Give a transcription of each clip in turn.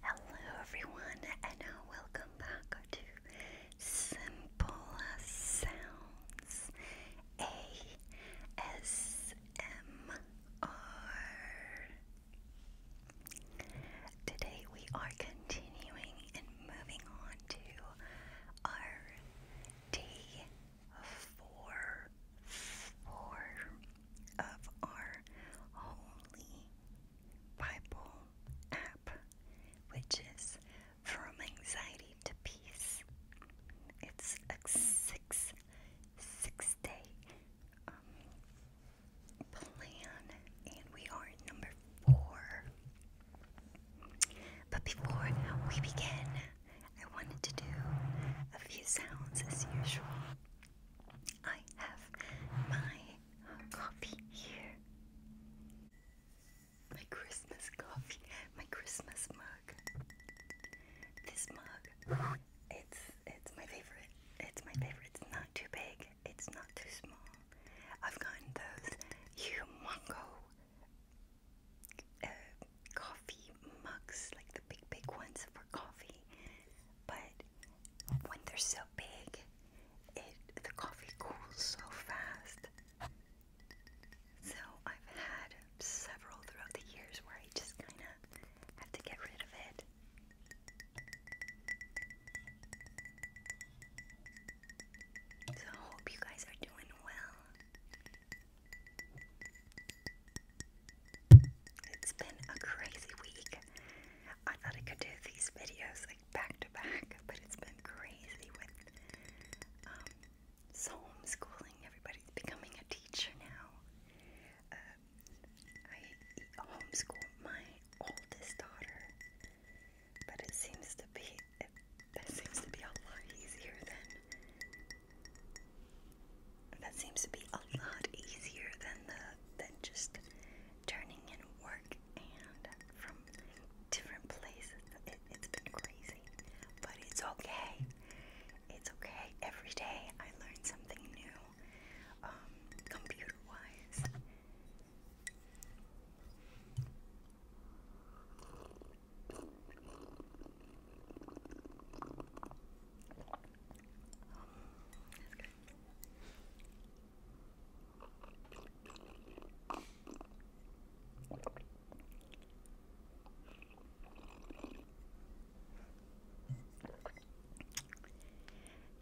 Hello, everyone, and welcome back to Simple Sounds ASMR. Today, we are continuing in moving on to our D four four of our Holy Bible app, which is From Anxiety to Peace. It's a six six day um, plan, and we are number four. But before we begin, I wanted to do a few sounds as usual. I have my coffee here. My Christmas coffee, my Christmas mug. This mug, it's it's my favorite. It's my favorite. not too big. It's not too small. I've gotten those humongo uh, coffee mugs, like the big, big ones for coffee. But when they're so big, it the coffee cools so fast. So I've had several throughout the years where I just kind of have to get rid of it. So I hope you guys are doing well. It's been a crazy week. I thought I could do these videos like back to back, but it's been crazy with um, so homeschooling. Everybody's becoming a teacher now. Uh, I homeschool my oldest daughter but it seems to be it, seems to be a lot easier than that seems to be a lot easier than the than just turning in work and from different places. It, has been crazy, but it's okay. It's okay. Every day I learn something new, um, computer wise. That's good.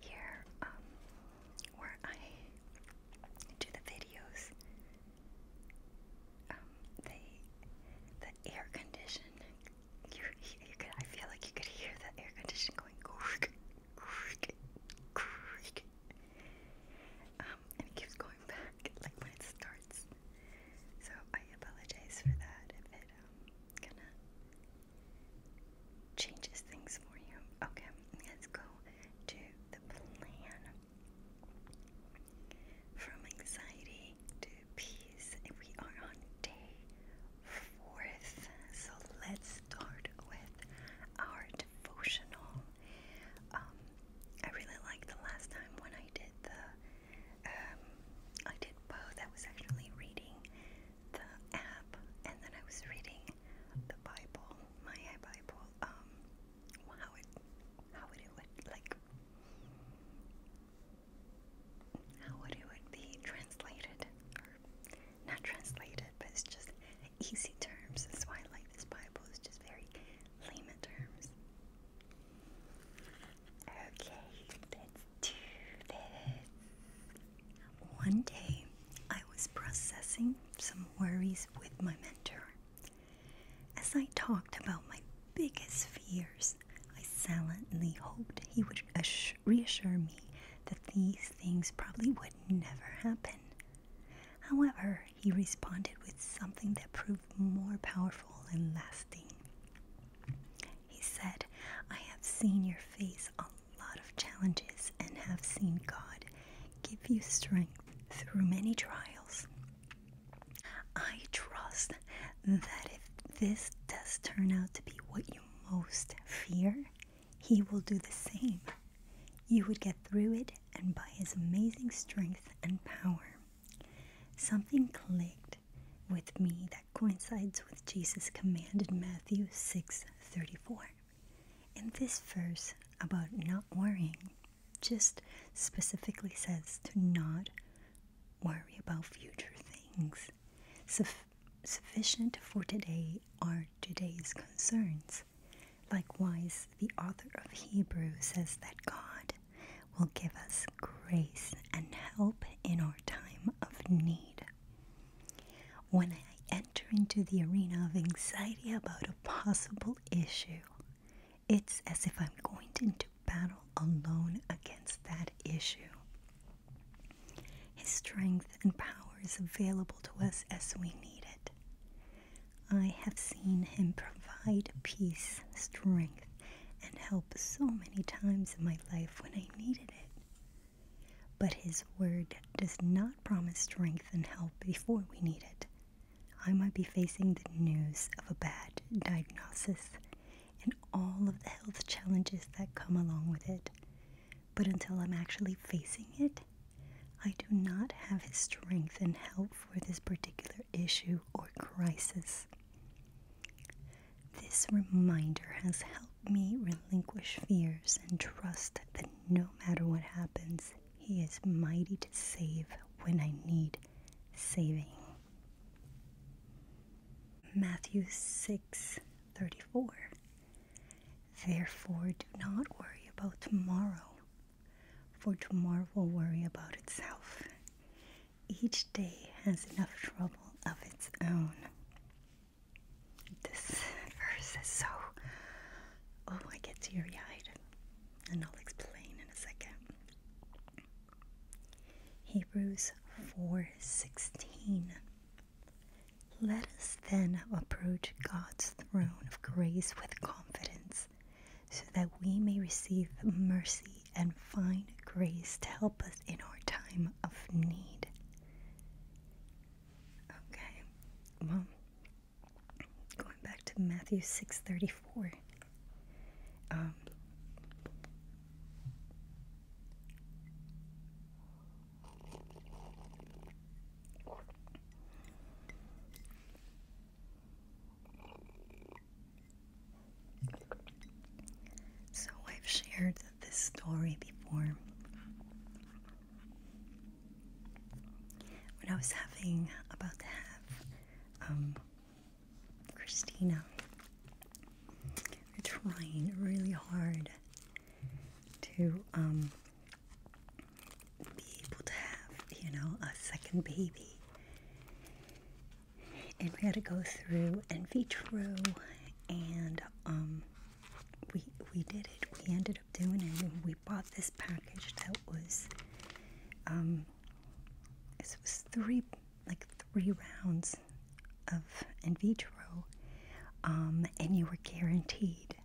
Here, um, where I do the videos, um, the air conditioning. You, you could, I feel like you could hear the air conditioning going Um, and it keeps going back, like when it starts. So I apologize for that if it um kind of changes things for you. Okay, let's go to the plan. From anxiety to peace, we are on day fourth. So let's start with our devotional. Um, I really liked the last time when I did the, um, I did both. That was actually reading the app, and then I was reading the Bible, my Bible. Um, how it how would it like how would it be translated or not translated but it's just easy terms that's why I like this Bible it's just very layman terms okay let's do this one day I was processing some worries with my mentor as I talked about my biggest fears, I silently hoped he would reassure me that these things probably would never happen. However, he responded with something that proved more powerful and lasting. He said, I have seen your face on a lot of challenges and have seen God give you strength through many trials. I trust that if this does turn out to be what you most fear, he will do the same. You would get through it, and by his amazing strength and power. Something clicked with me that coincides with Jesus' command in Matthew 6:34. In this verse about not worrying, just specifically says to not worry about future things. sufficient for today are today's concerns. Likewise, the author of Hebrew says that God will give us grace and help in our time of need. When I enter into the arena of anxiety about a possible issue, it's as if I'm going into battle alone against that issue. His strength and power is available to us as we need it. I have seen him provide peace, strength, and help so many times in my life when I needed it. But his word does not promise strength and help before we need it. I might be facing the news of a bad diagnosis and all of the health challenges that come along with it. But until I'm actually facing it, I do not have the strength and help for this particular issue or crisis. This reminder has helped me relinquish fears and trust that no matter what happens, he is mighty to save when I need saving. Matthew 6 34. Therefore, do not worry about tomorrow, for tomorrow will worry about itself. Each day has enough trouble of its own. This verse is so. Oh, I get teary eyed and I'll explain in a second. Hebrews 4:16 Let us then approach God's throne of grace with confidence so that we may receive mercy and find grace to help us in our time of need. Okay. Well, going back to Matthew 6:34 um, so I've shared this story before when I was having about to have um, Christina. We're trying really hard to um, be able to have, you know, a second baby. And we had to go through in vitro, and um, we we did it. We ended up doing it, and we bought this package that was it was three, like three rounds of in vitro, um, and you were guaranteed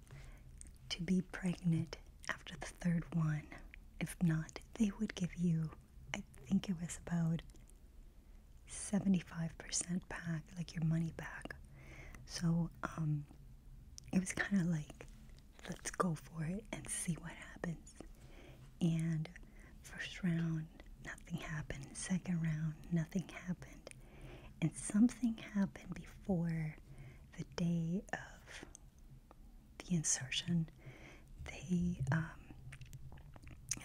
to be pregnant after the third one. If not, they would give you, I think it was about 75% back, like your money back. So um, it was kind of like let's go for it and see what happens. And first round, nothing happened. Second round, nothing happened. And something happened before the day of the insertion. They, um,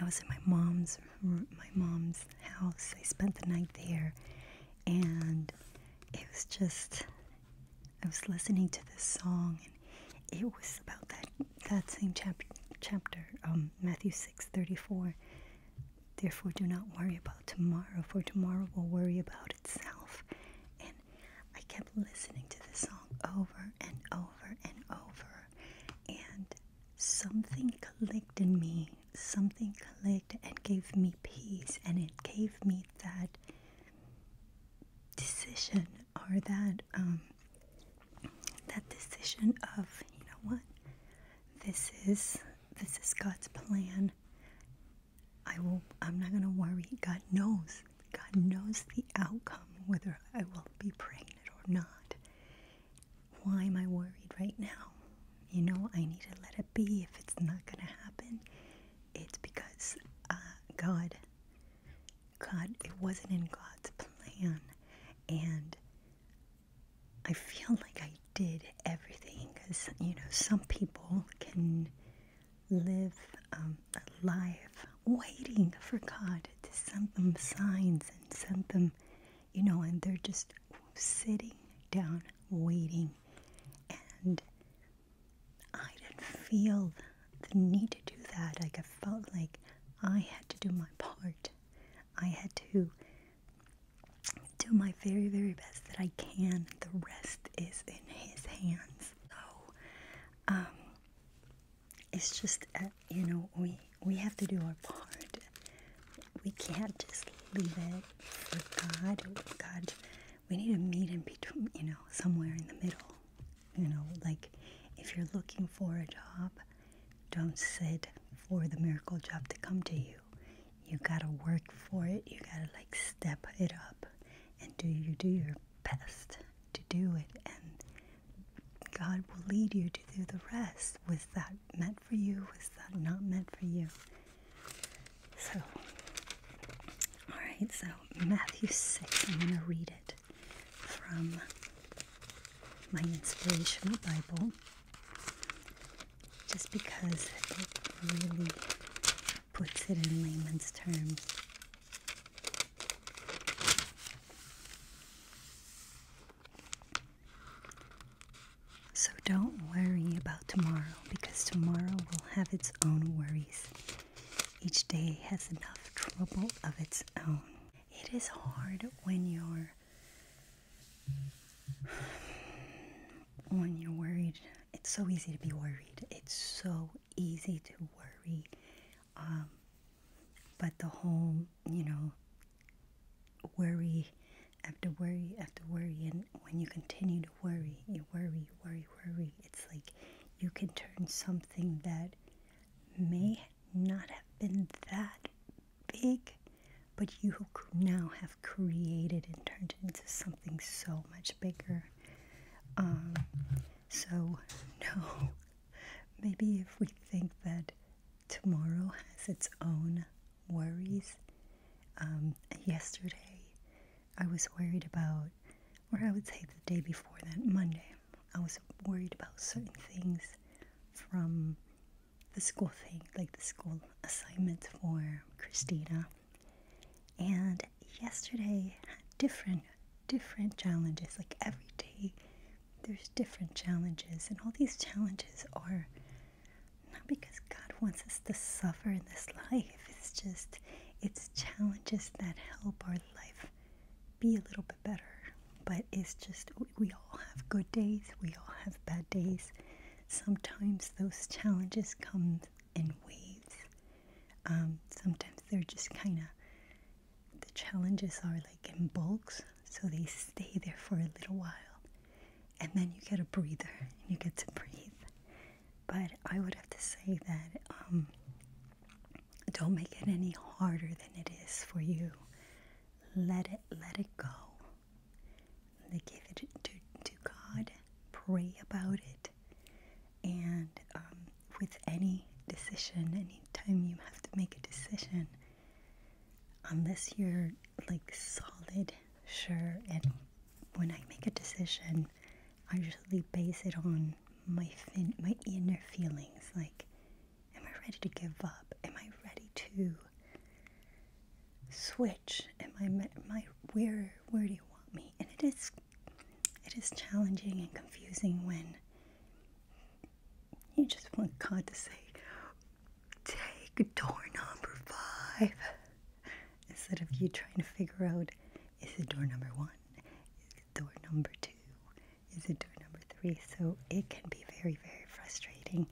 I was at my mom's, my mom's house. I spent the night there, and it was just. I was listening to this song, it was about that that same chapter, um, Matthew six thirty four. Therefore, do not worry about tomorrow, for tomorrow will worry about itself. And I kept listening to this song over and over and over, and something clicked in me. Something clicked and gave me peace, and it gave me that decision or that um, that decision of you know what this is this is God's plan. I will. I'm not going to worry. God knows. God knows the outcome whether I will be pregnant or not. Why am I worried right now? You know, I need to let it be. If it's not going to happen, it's because uh, God God, it wasn't in God's plan. And I feel like I did everything because, you know, some people can live um, life waiting for God to send them signs and send them, you know, and they're just sitting down waiting. And I didn't feel the need to do that. Like I felt like I had to do my part. I had to do my very, very best that I can. The rest is in his hands. So, um, it's just you know we we have to do our part. We can't just leave it for God. God, we need to meet in between. You know, somewhere in the middle. You know, like if you're looking for a job, don't sit for the miracle job to come to you. You gotta work for it. You gotta like step it up and do you do your best to do it and God will lead you to do the rest. Was that meant for you? Was that not meant for you? So all right, so Matthew 6, I'm going to read it from my inspirational Bible just because it really puts it in layman's terms. So don't worry about tomorrow because tomorrow will have its own worries. Each day has enough trouble of its own. It is hard when you're when you're worried. It's so easy to be worried. It's so easy to worry. Um, but the whole, you know, worry after worry after worry, and when you continue to worry, you worry, worry, worry. It's like you can turn something that may not have been that big, but you now have created and turned it into something so much bigger. Um, so, no, maybe if we think that tomorrow has its own worries, um, yesterday I was worried about, or I would say the day before that, Monday, I was worried about certain things from the school thing, like the school assignments for Christina. And yesterday different, different challenges. Like every day, there's different challenges. And all these challenges are not because God wants us to suffer in this life, it's just, it's challenges that help our life be a little bit better. But it's just, we all have good days, we all have bad days. Sometimes those challenges come in waves. Um, sometimes they're just kind of, the challenges are like in bulks, so they stay there for a little while. And then you get a breather and you get to breathe but I would have to say that um, don't make it any harder than it is for you. Let it let it go. And give it to, to God. Pray about it. And um, with any decision, anytime you have to make a decision, unless you're like solid, sure, and when I make a decision, I usually base it on my fin my inner feelings like am I ready to give up? Am I ready to switch? Am I my where where do you want me? And it is it is challenging and confusing when you just want God to say, take door number five instead of you trying to figure out is it door number one? door number two is a door number three. So it can be very, very frustrating.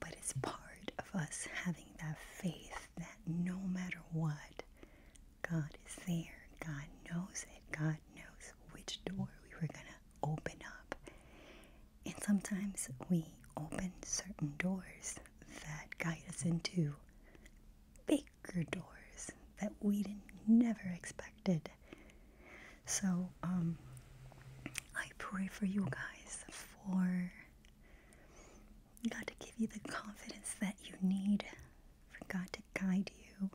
But it's part of us having that faith that no matter what, God is there. God knows it. God knows which door we were going to open up. And sometimes we open certain doors that guide us into big baker doors that we never expected. So, um, I pray for you guys for God to give you the confidence that you need, for God to guide you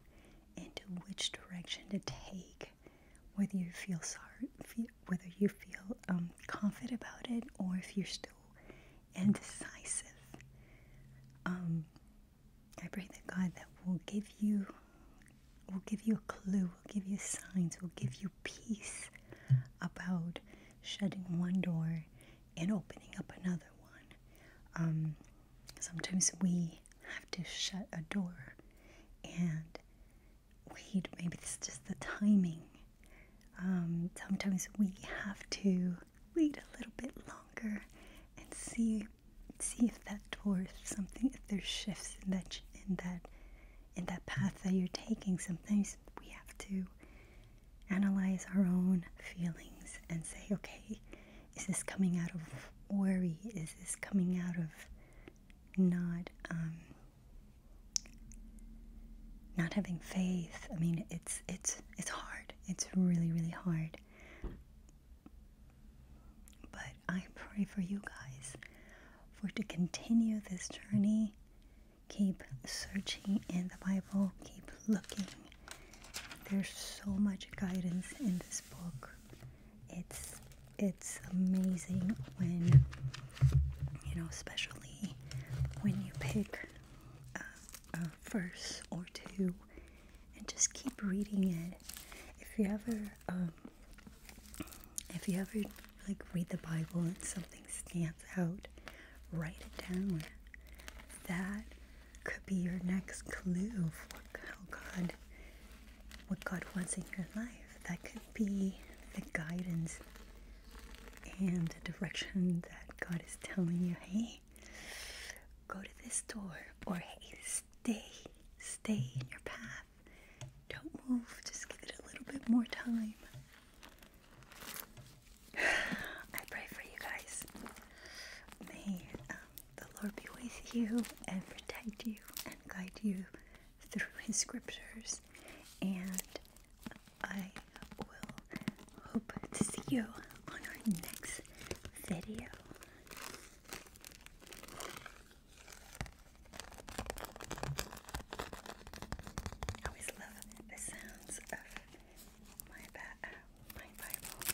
into which direction to take, whether you feel sorry, whether you feel um, confident about it, or if you're still indecisive. Um, I pray that God that will give you will give you a clue, will give you signs, will give you peace about shutting one door and opening up another one. Um, sometimes we have to shut a door and wait, maybe it's just the timing. Um, sometimes we have to wait a little bit longer and see see if that dwarf something if there's shifts in that in that in that path that you're taking sometimes we have to analyze our own feelings and say okay is this coming out of worry is this coming out of not um, not having faith i mean it's it's it's hard it's really really hard but I pray for you guys for to continue this journey. Keep searching in the Bible, keep looking. There's so much guidance in this book. It's it's amazing when you know, especially when you pick uh, uh, verse or two and just keep reading it. If you ever, um, if you ever like read the Bible and something stands out, write it down. That could be your next clue of how God, what God wants in your life. That could be the guidance and the direction that God is telling you, hey, go to this door, or hey, stay, stay in your path. Don't move, just give it a little bit more time. I pray for you guys. May um, the Lord be with you and protect you and guide you through His scriptures. And I will hope to see you on our next video. I always love the sounds of my, uh, my Bible.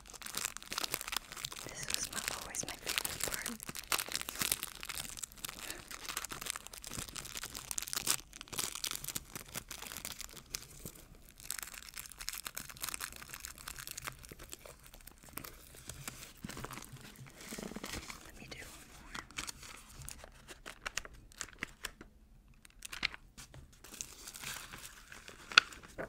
This was my, always my favorite part. Let me do one more. Okay.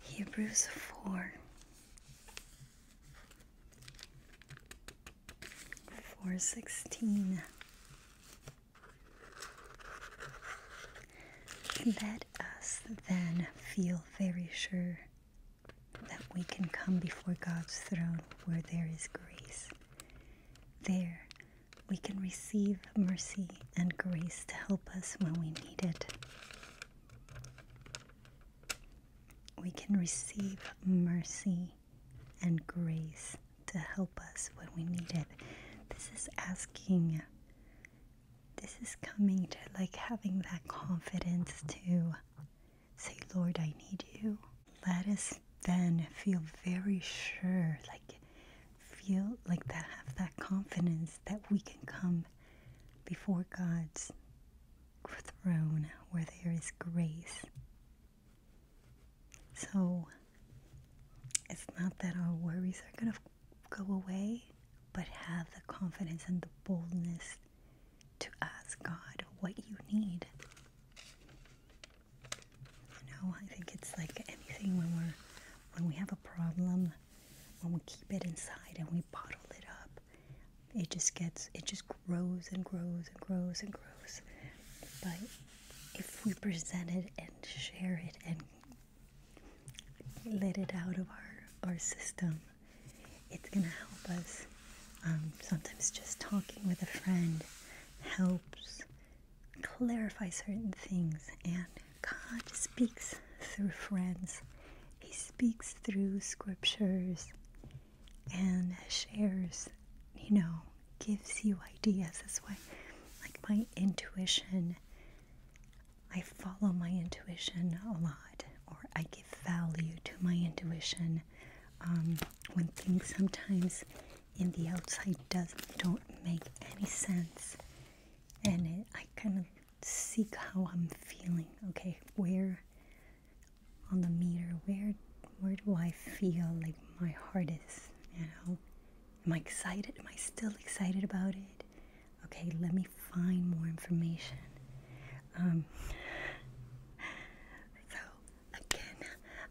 Hebrews 4 416 Let us then feel very sure that we can come before God's throne where there is grace. There we can receive mercy and grace to help us when we need it. We can receive mercy and grace to help us when we need it. This is asking, this is coming to like having that confidence to say, Lord, I need you. Let us then feel very sure, like feel like that, have that confidence that we can come before God's throne where there is grace. So it's not that our worries are going to go away, but have the confidence and the boldness to ask God what you need. You know, I think it's like anything when we're when we have a problem when we keep it inside and we bottle it up, it just gets, it just grows and grows and grows and grows. But if we present it and share it and let it out of our, our system, it's going to help us. Um, sometimes just talking with a friend helps clarify certain things and God speaks through friends, He speaks through scriptures and shares, you know, gives you ideas. That's why, like, my intuition, I follow my intuition a lot, or I give value to my intuition. Um, when things sometimes in the outside does don't make any sense and I kind of seek how I'm feeling. Okay, where on the meter, where where do I feel like my heart is? You know? Am I excited? Am I still excited about it? Okay, let me find more information. Um, so, again,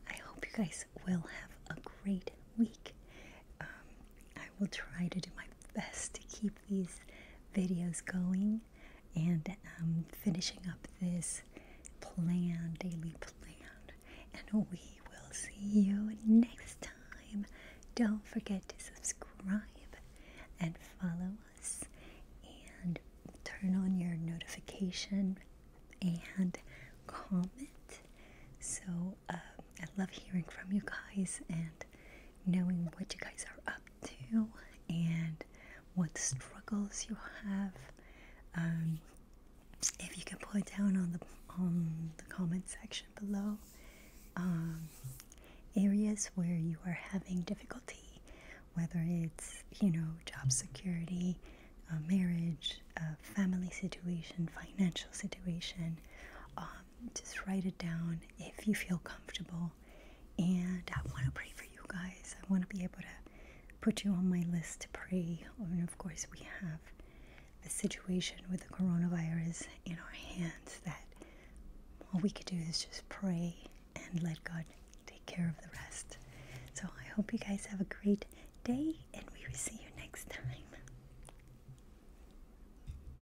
I hope you guys will have a great week. Um, I will try to do my best to keep these videos going and um, finishing up this plan, daily plan. And we will see you next time. Don't forget to subscribe and follow us and turn on your notification and comment. So uh, I love hearing from you guys and knowing what you guys are up to and what struggles you have. Um, if you can put down on the on the comment section below, um, areas where you are having difficulty, whether it's you know job security, uh, marriage, family situation, financial situation, um, just write it down if you feel comfortable. And I want to pray for you guys. I want to be able to put you on my list to pray. And of course, we have the situation with the coronavirus in our hands that all we could do is just pray and let God take care of the rest. So I hope you guys have a great day and we will see you next time.